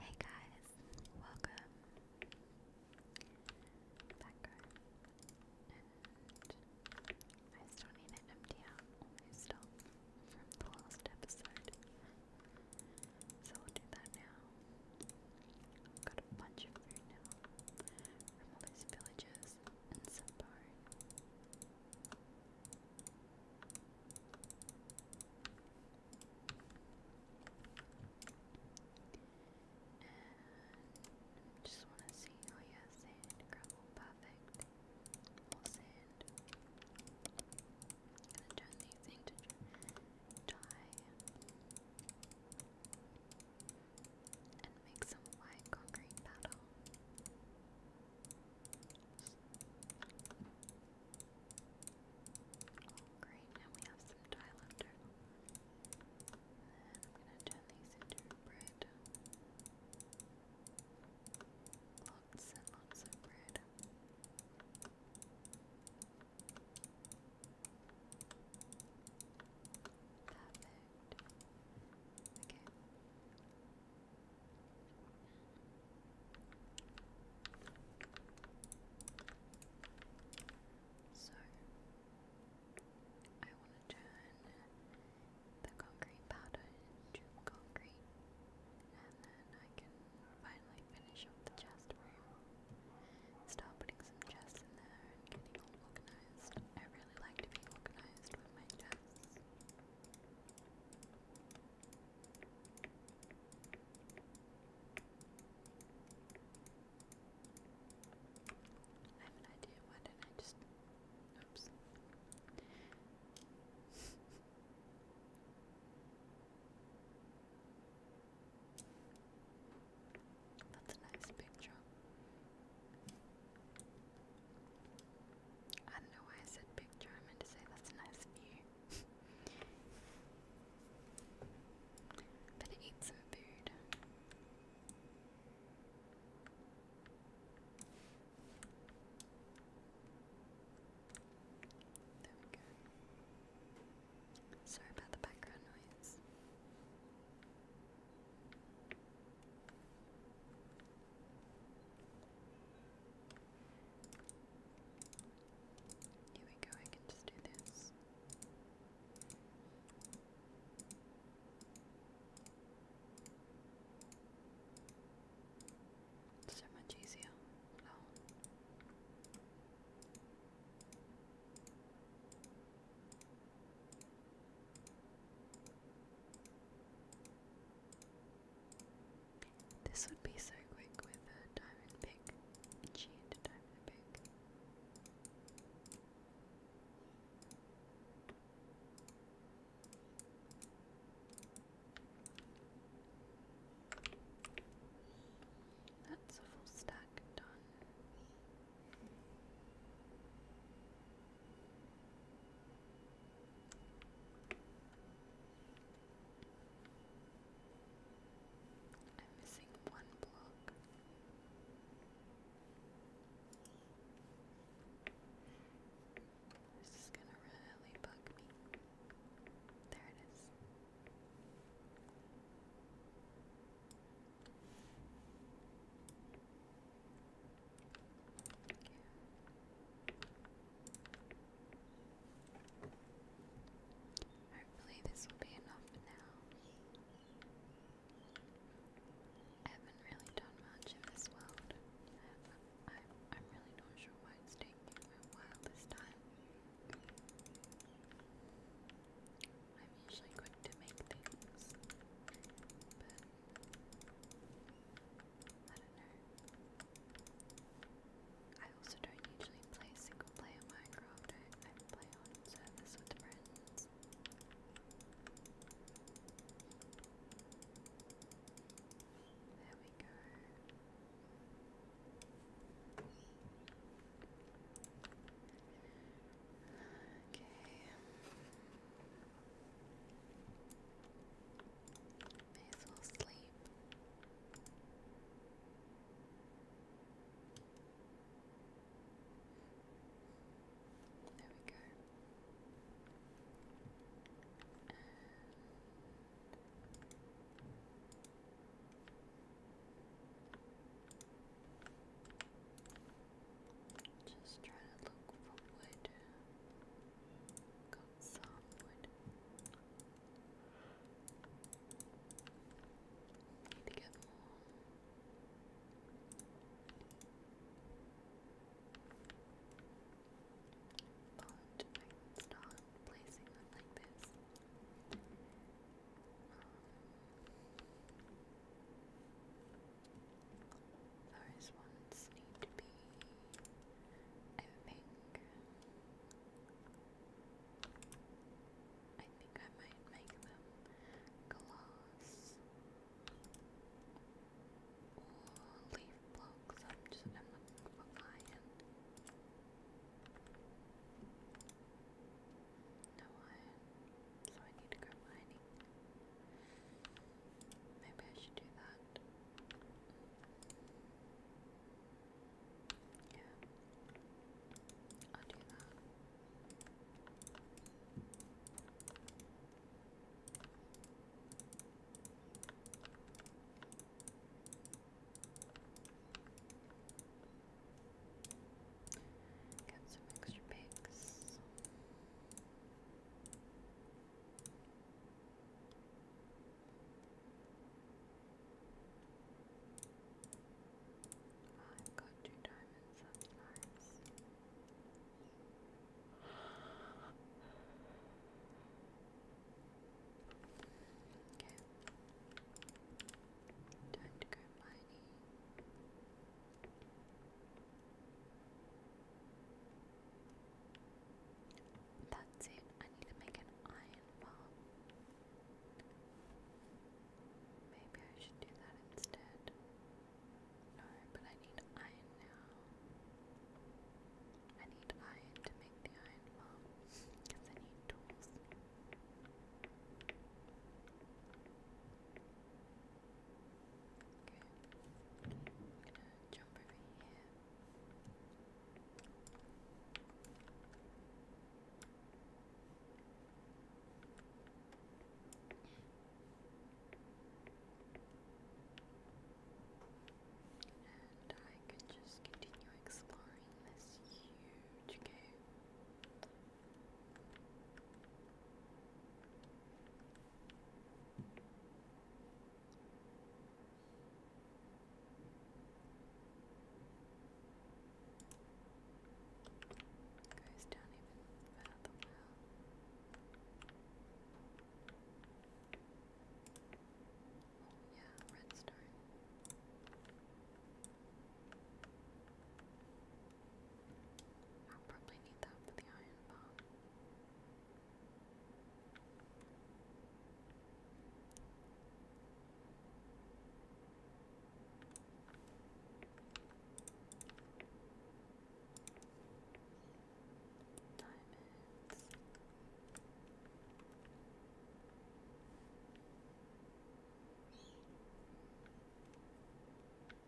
Hey guys, welcome back. I still need an empty out all my from the last episode. So we'll do that now. got a bunch of food now from these villages and some bone. And just want to see, oh yeah, sand, gravel, perfect. More sand. I'm gonna turn these into dye and make some white concrete powder. Oh great, now we have some dye left I'm gonna turn these into bread. Lots and lots of bread. Perfect. Okay. So I want to turn the concrete powder into concrete, and then I can finally finish the chest room. Start putting some chests in there and getting all organized. I really like to be organized with my chests. I have an idea, why did I just oops. That's a nice picture. I don't know why I said picture, I meant to say that's a nice view. Better eat some food. There we go. Sorry about the background noise. Here we go, I can just do this. So much easier. This would be so quick with a diamond pick. Cheat diamond pick. That's a full stack done. I'm missing one block. This is gonna really bug me. There it is. Hopefully, this will be enough now. I haven't really done much in this world. I'm, really not sure why it's taking me a while this time. I'm usually quick to make things, but I don't know. I also don't usually play single player Minecraft, I, I play on servers with friends. There we go. Okay. May as There we go. And just try to look for some wood. Need to get more. But I placing it like this. Um, those ones need to be a pink. I think I might make them glass or leaf blocks. I'm just I'm looking for iron. No iron, so I need to go mining. Maybe I should do that. Yeah. I'll do that. Get some extra pigs. I've got two diamonds, Okay. Time to go mining. That's it. I need to make an iron bar. Maybe I should do that instead. No, but I need iron now. I need iron to make the iron farm because I need tools. I'm gonna jump over here. And I could just continue exploring this huge cave. Goes down even further yeah, redstone. I'll probably need that for the iron bar. Diamonds. I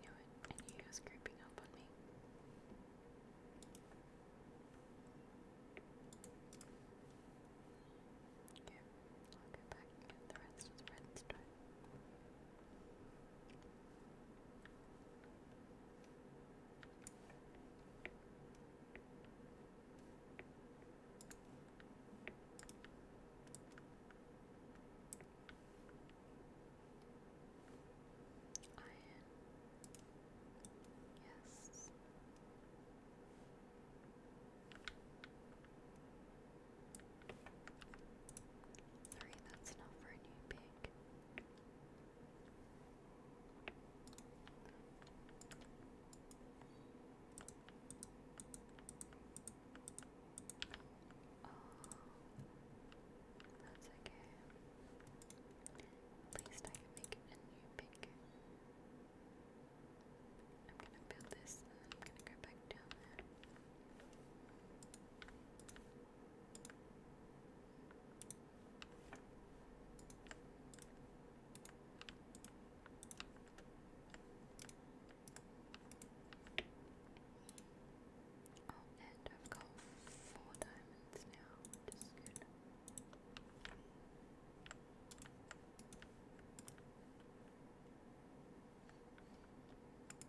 knew it. I knew creeping up on me. Okay, I'll go back and the rest of the redstone. Iron. Yes. Three, that's enough for a new pig. Oh, that's okay. At least I can make a new pink. I'm gonna build this I'm gonna go back down there. Oh, and I've got four diamonds now, which is good.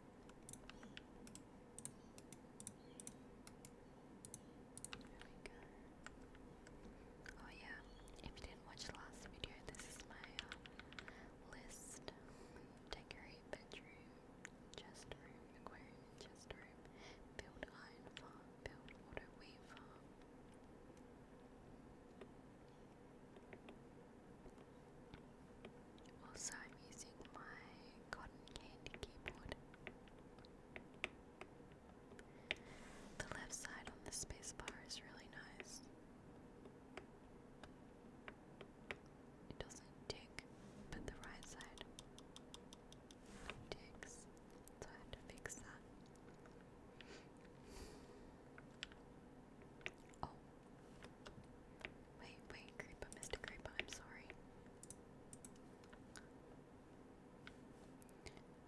Oh yeah, if you didn't watch the last video, this is my uh, list. Decorate bedroom, chest room, aquarium, chest room, build iron farm, build auto weave farm. Also, I'm using my cotton candy keyboard. The left side on the spacebar is really nice. It doesn't tick, but the right side ticks, so I had to fix that. Oh. Wait, wait, Mr. Creeper, I'm sorry.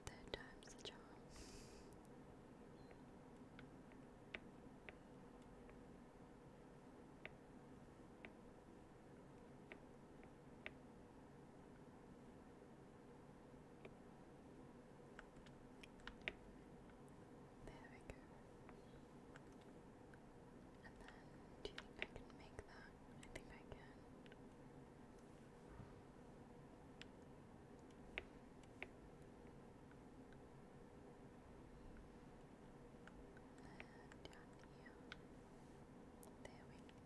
Third time's a charm. There we go. And do you think I can make that? I think I can. There we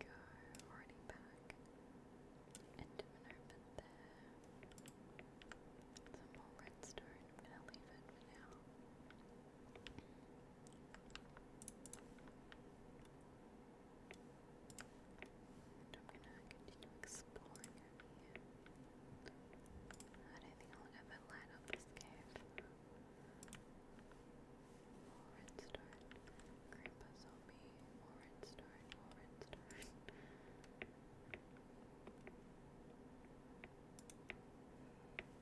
go. Already back. Into open there. Some more redstone. I'm gonna leave it for now. And I'm gonna continue exploring I don't think I'll ever light up this cave. More redstone. Grandpa zombie. More redstone. More redstone. Lapis.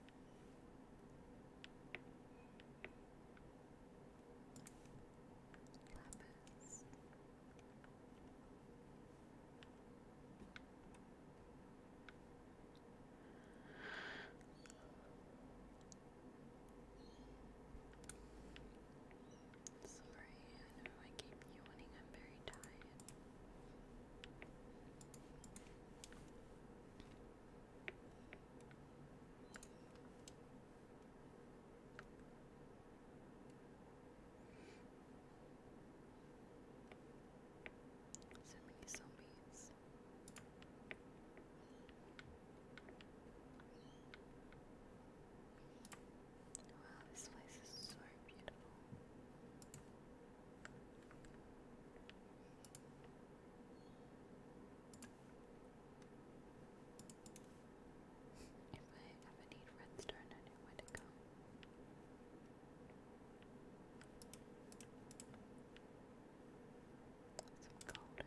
Sorry, I know I keep yawning, I'm very tired. So many zombies. Wow, this place is so beautiful. If I ever need redstone, I know where to go. Some gold here.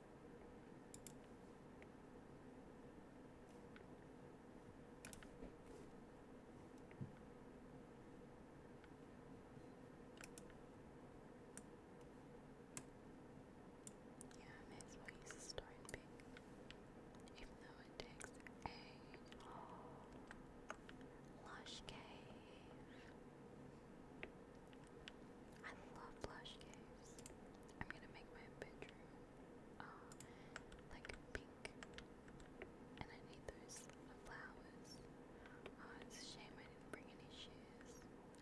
Yeah, I may as well Even though it takes a lush cave. I love lush caves. I'm gonna make my bedroom are oh, like pink, and I need those flowers. Oh, it's a shame I didn't bring any shears.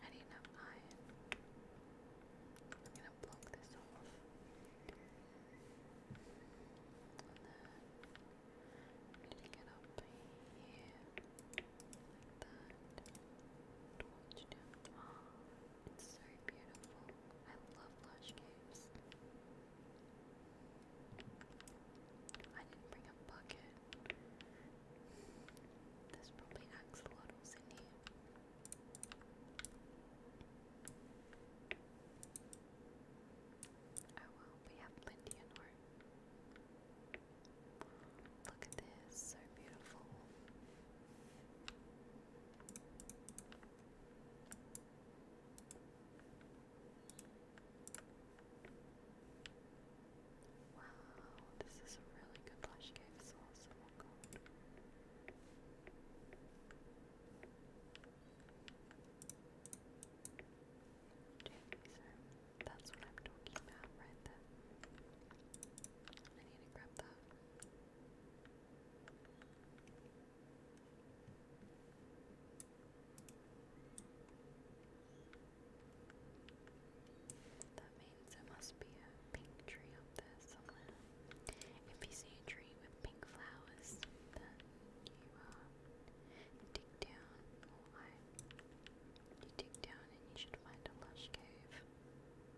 I didn't iron. I'm gonna block this off. And then get up here like that. Torch down. Oh, it's so beautiful. I love lush caves. I didn't bring a bucket. There's probably axolotls in here. Oh well, we have plenty in room. Look at this, so beautiful. Wow, this is a really good lush oh, That's what I'm talking about right there. I need to grab that. That means there must be a pink tree up there somewhere. If you see a tree with pink flowers, then you uh, dig down, you dig down and you should find a lush cave.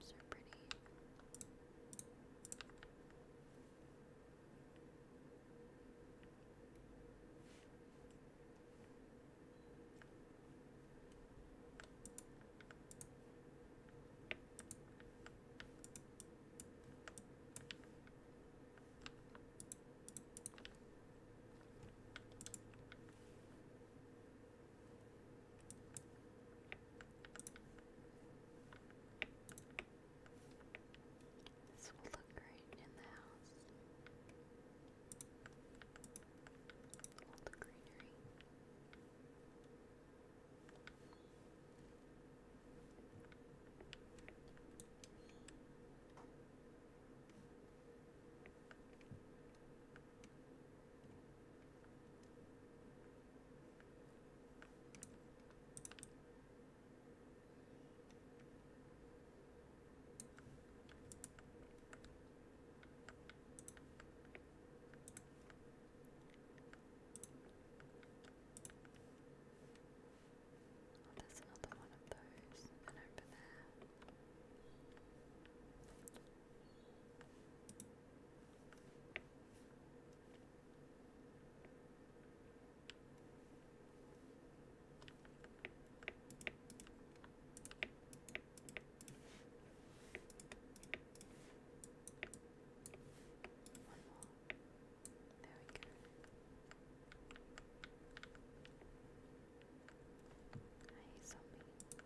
So pretty. Okay. This will look great in the house. All the greenery. Oh, there's another one of those, and over there. One more. There we go. Hi, zombie. Oh, look.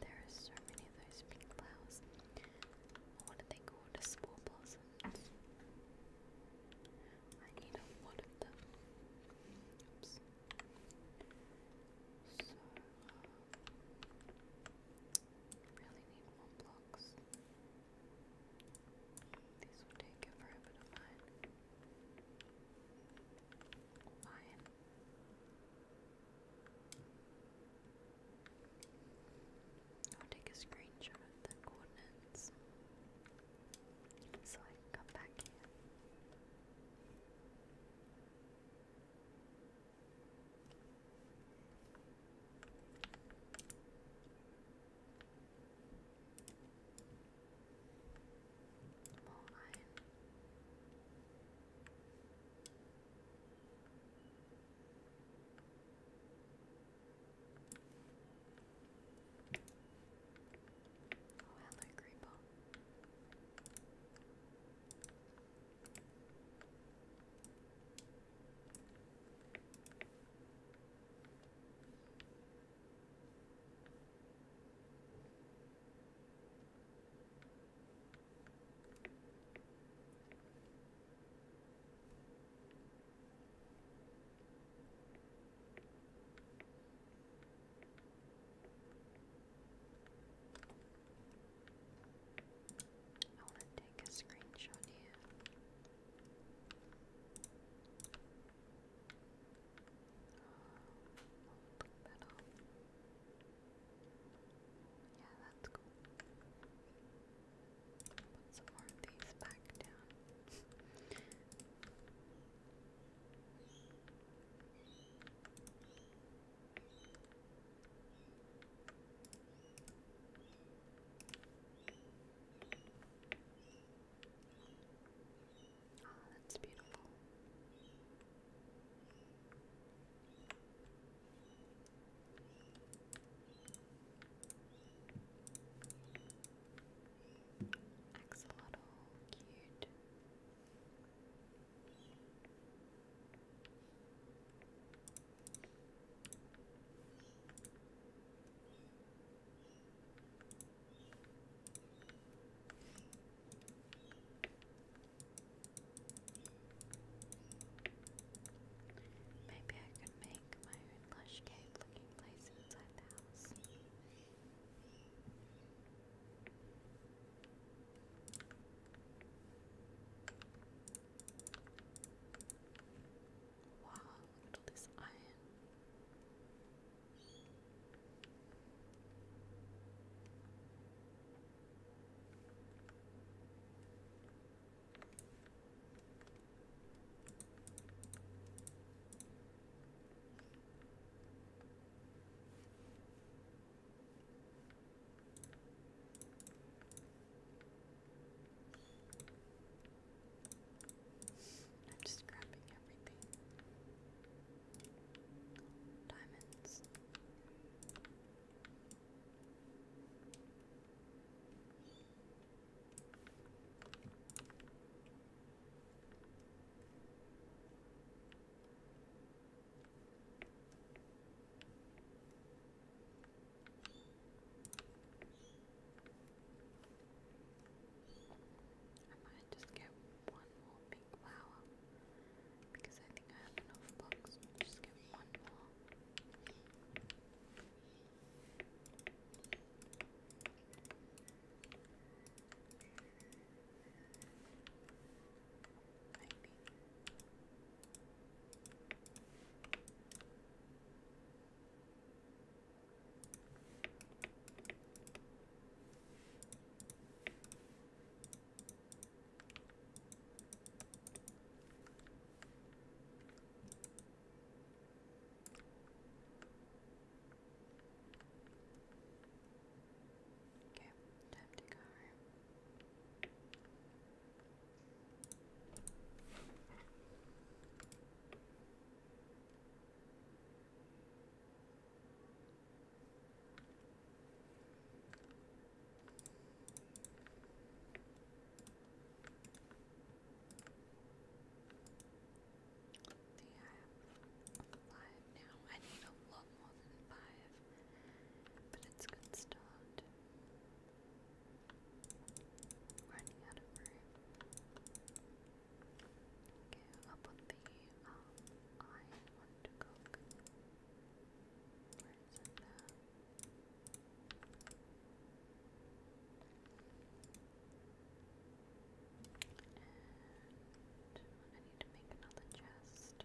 There are so many of those pink flowers. What are they called? The spore blossoms. I need a of them. Um, really need more blocks. This will take you forever to find. Fine. I'll take a screenshot of the coordinates so I can come back here. Ball nine. Oh, hello, Creeper. I want to take a screenshot here. Um, a Yeah, that's cool. Put some more these back down that's beautiful. Axolotl, cute. Maybe I could make my own plush cave looking place inside the house. Wow, look at this iron. I'm just grabbing everything diamonds and just get one more pink flower because I think I have enough blocks. Just get one more. Maybe. Okay, time to go home five now. I need a lot more than five, but it's good start. Running out of room. Okay, up the um, I want to And I need to make another chest.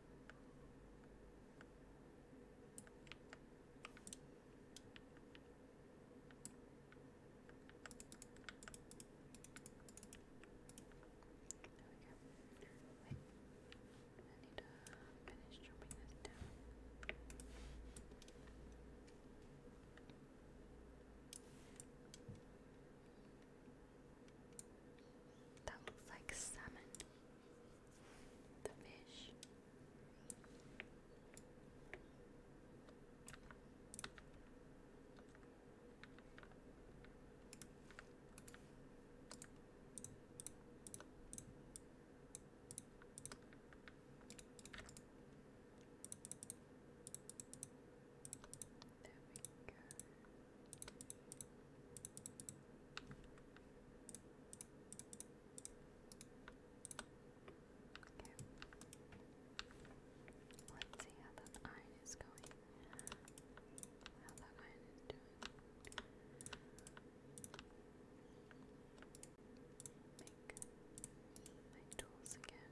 Wait. I need to finish chopping this down. Okay. That looks like salmon. The fish. There we go. Okay. Let's see how that iron is going. How that iron is doing. Make my tools again.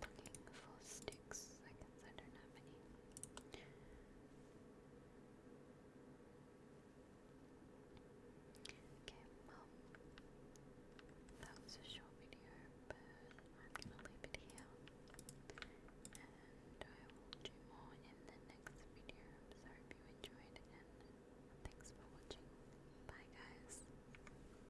Looking for sticks, I guess I don't have any. Okay, well, that was a short video, but I'm gonna leave it here. And I will do more in the next video. So I hope you enjoyed, and thanks for watching. Bye, guys.